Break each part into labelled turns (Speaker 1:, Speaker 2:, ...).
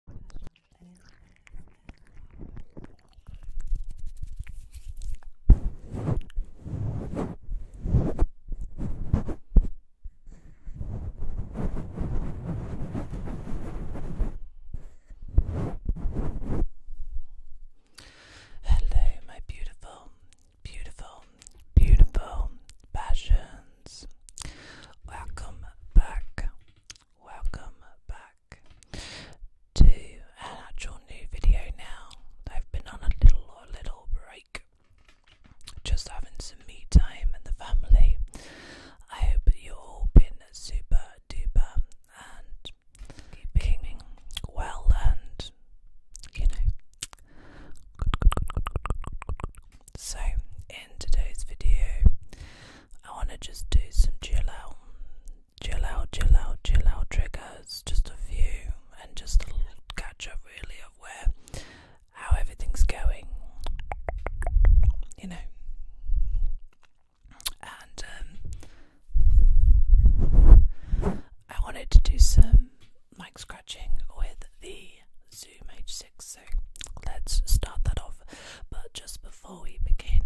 Speaker 1: Hello, my beautiful, beautiful, beautiful passions. Welcome back Welcome back to an actual new video now. I've been on a little little break. Just having some me time and the family. I hope you've all been super duper and keeping well and you know. So in today's video I want to just do some chill out, chill out, chill out, chill out triggers, just a few, and just a little catch up really of where how everything's going, you know. And um, I wanted to do some mic scratching with the Zoom H6. So let's start that off. But just before we begin,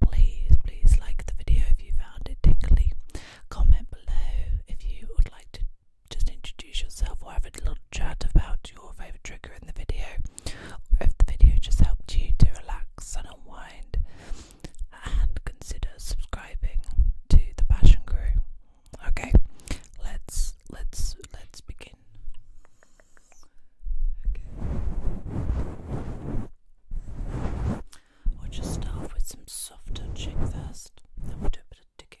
Speaker 1: please, please like the video if you found it tingly. Comment below if you would like to just introduce yourself or have a little chat about your favourite trigger in the video, if the video just helped you to relax and unwind. And consider subscribing to the Passion Crew. Okay, let's let's let's begin. Okay. I'll just start with some soft touching first, then we'll do a bit of digging.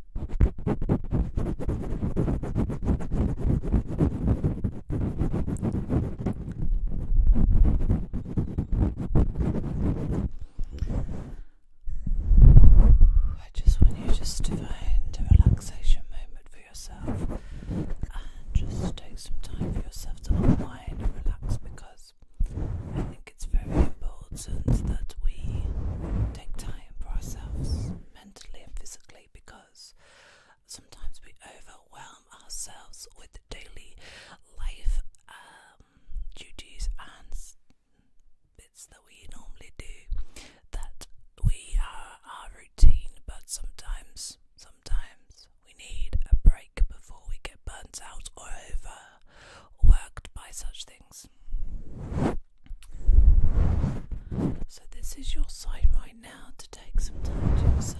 Speaker 1: I just want you to find a relaxation moment for yourself and just take some time for yourself to unwind and relax because I think it's very important that we take time for ourselves mentally and physically because sometimes we overwhelm ourselves with daily life um, duties and bits that we normally do that we are our routine, but sometimes, sometimes we need a break before we get burnt out or overworked by such things. So, this is your sign right now to take some time to yourself.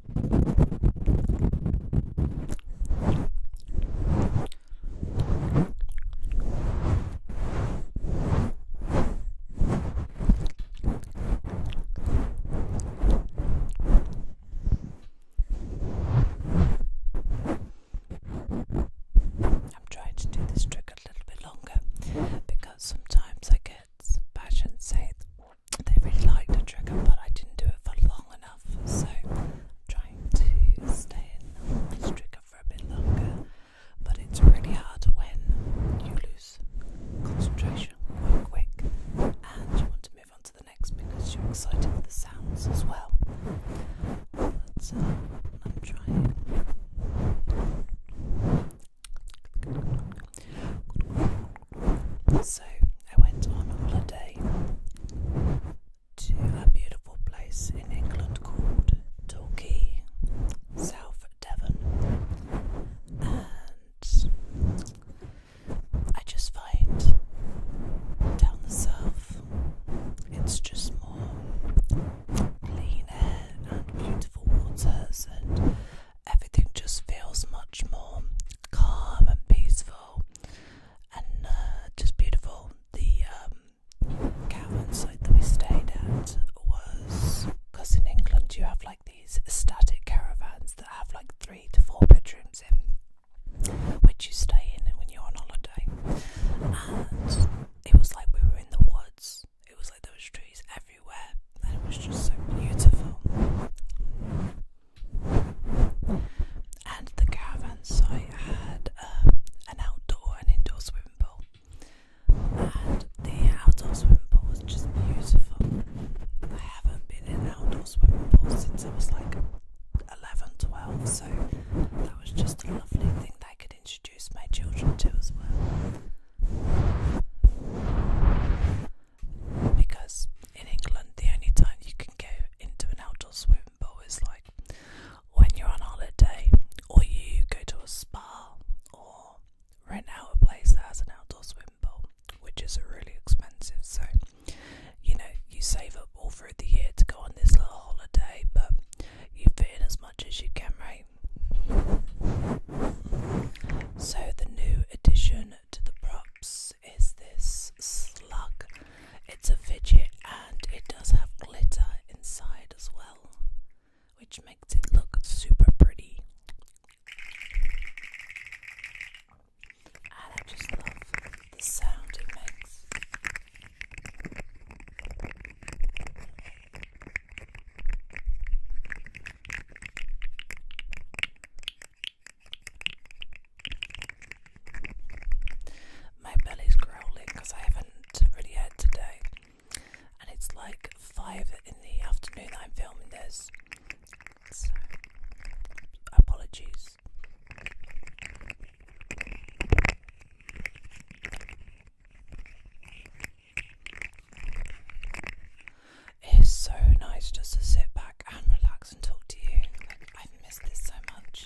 Speaker 1: I'm trying to do this trick a little bit longer because sometimes I get passion say they really liked the trigger, but I didn't do it for long enough, so I'm trying to stay in this trigger for a bit longer. But it's really hard when you lose concentration quite quick and you want to move on to the next because you're excited with the sounds as well. But uh, I'm trying. So I went on holiday to a beautiful place in England called Torquay, South Devon, and I just find down the south it's just more clean air and beautiful waters and everything just feels much more calm and peaceful and uh, just beautiful. The um, caravan site that we stayed at was because in England you have like these static caravans that have like three to four bedrooms in, which you stay in when you're on holiday. And it was like we were in the woods. It was like there was trees everywhere, and it was just so beautiful. And the caravan site had um, an outdoor and indoor swimming pool. And the outdoor swimming pool was just beautiful. I haven't been in an outdoor swimming pool since I was like 11, 12, so that was just a lovely thing that I could introduce my children to as well because in England the only time you can go into an outdoor swimming pool is like when you're on holiday or you go to a spa or rent out a place that has an outdoor swimming pool, which is really expensive. So you
Speaker 2: know you save up all through the year to go on this little holiday, but you fit in as
Speaker 1: much as you can, right? So the new addition to the props is this slug. It's a fidget and it does have glitter inside as well, which makes it look super pretty. And I just love the sound it makes. My belly's growling because I haven't really had today, and it's like five in the afternoon I'm filming this. So, apologies. It is so nice just to sit back and relax and talk to you. I've missed this so much.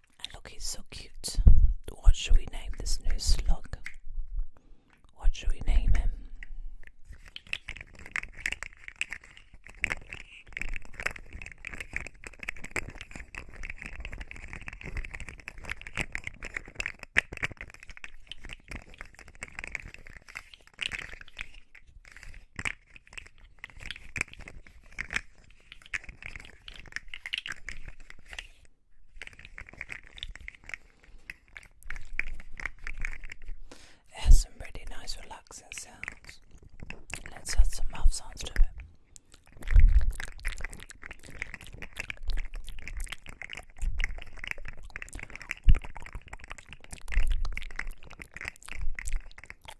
Speaker 1: look, he's so cute. What should we name this new slug? What should we name him? It has some pretty nice relaxing sounds. Let's add some mouth sounds to it.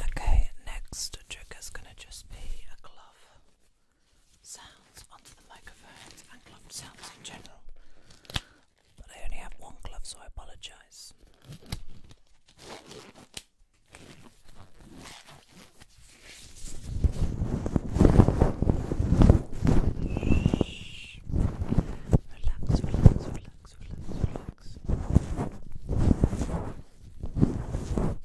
Speaker 1: Okay, next trigger's going to just be a glove sounds onto the microphones and club sounds in general. But I only have one glove, so I apologise. Relax, relax, relax, relax, relax.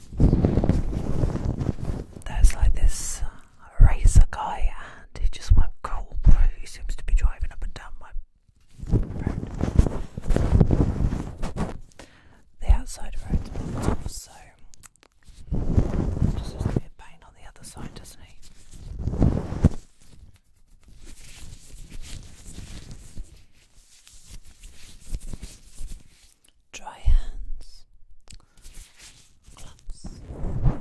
Speaker 1: There's like this uh, racer guy, and he just won't go He seems to be driving up and down my road. The outside road's off, so just has to be a pain on the other side, doesn't he? dry hands,
Speaker 2: gloves.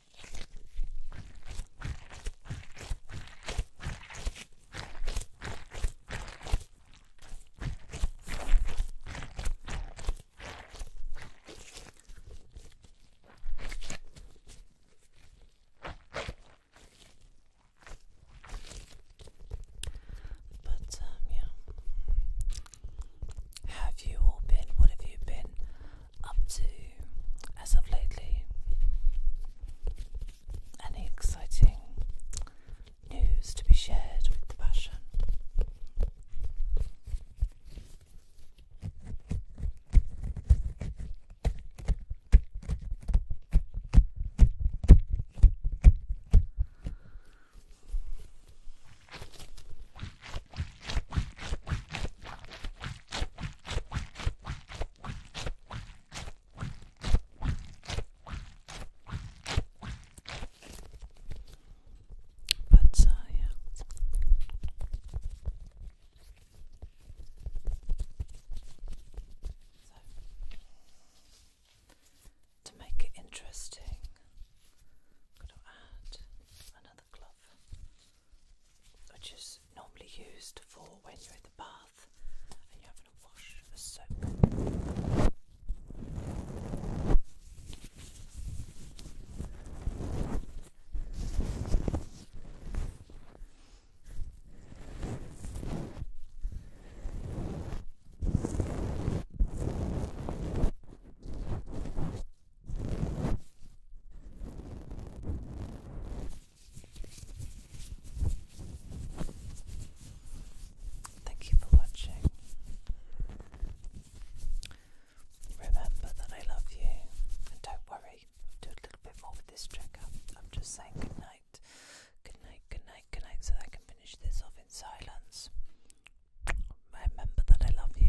Speaker 2: But
Speaker 1: um, have you all been? What have you been up to as of lately? Any exciting news to be shared with the passion?
Speaker 2: But uh, yeah. So, to make it interesting, I'm going to add another glove which is normally used for when you're in the bath
Speaker 1: and you're having a wash of soap. Thank you for watching. Remember that I love you, and don't worry, do a little bit more with this trigger. I'm just saying good night, good night, so I can finish this off in silence. I Remember that I love you.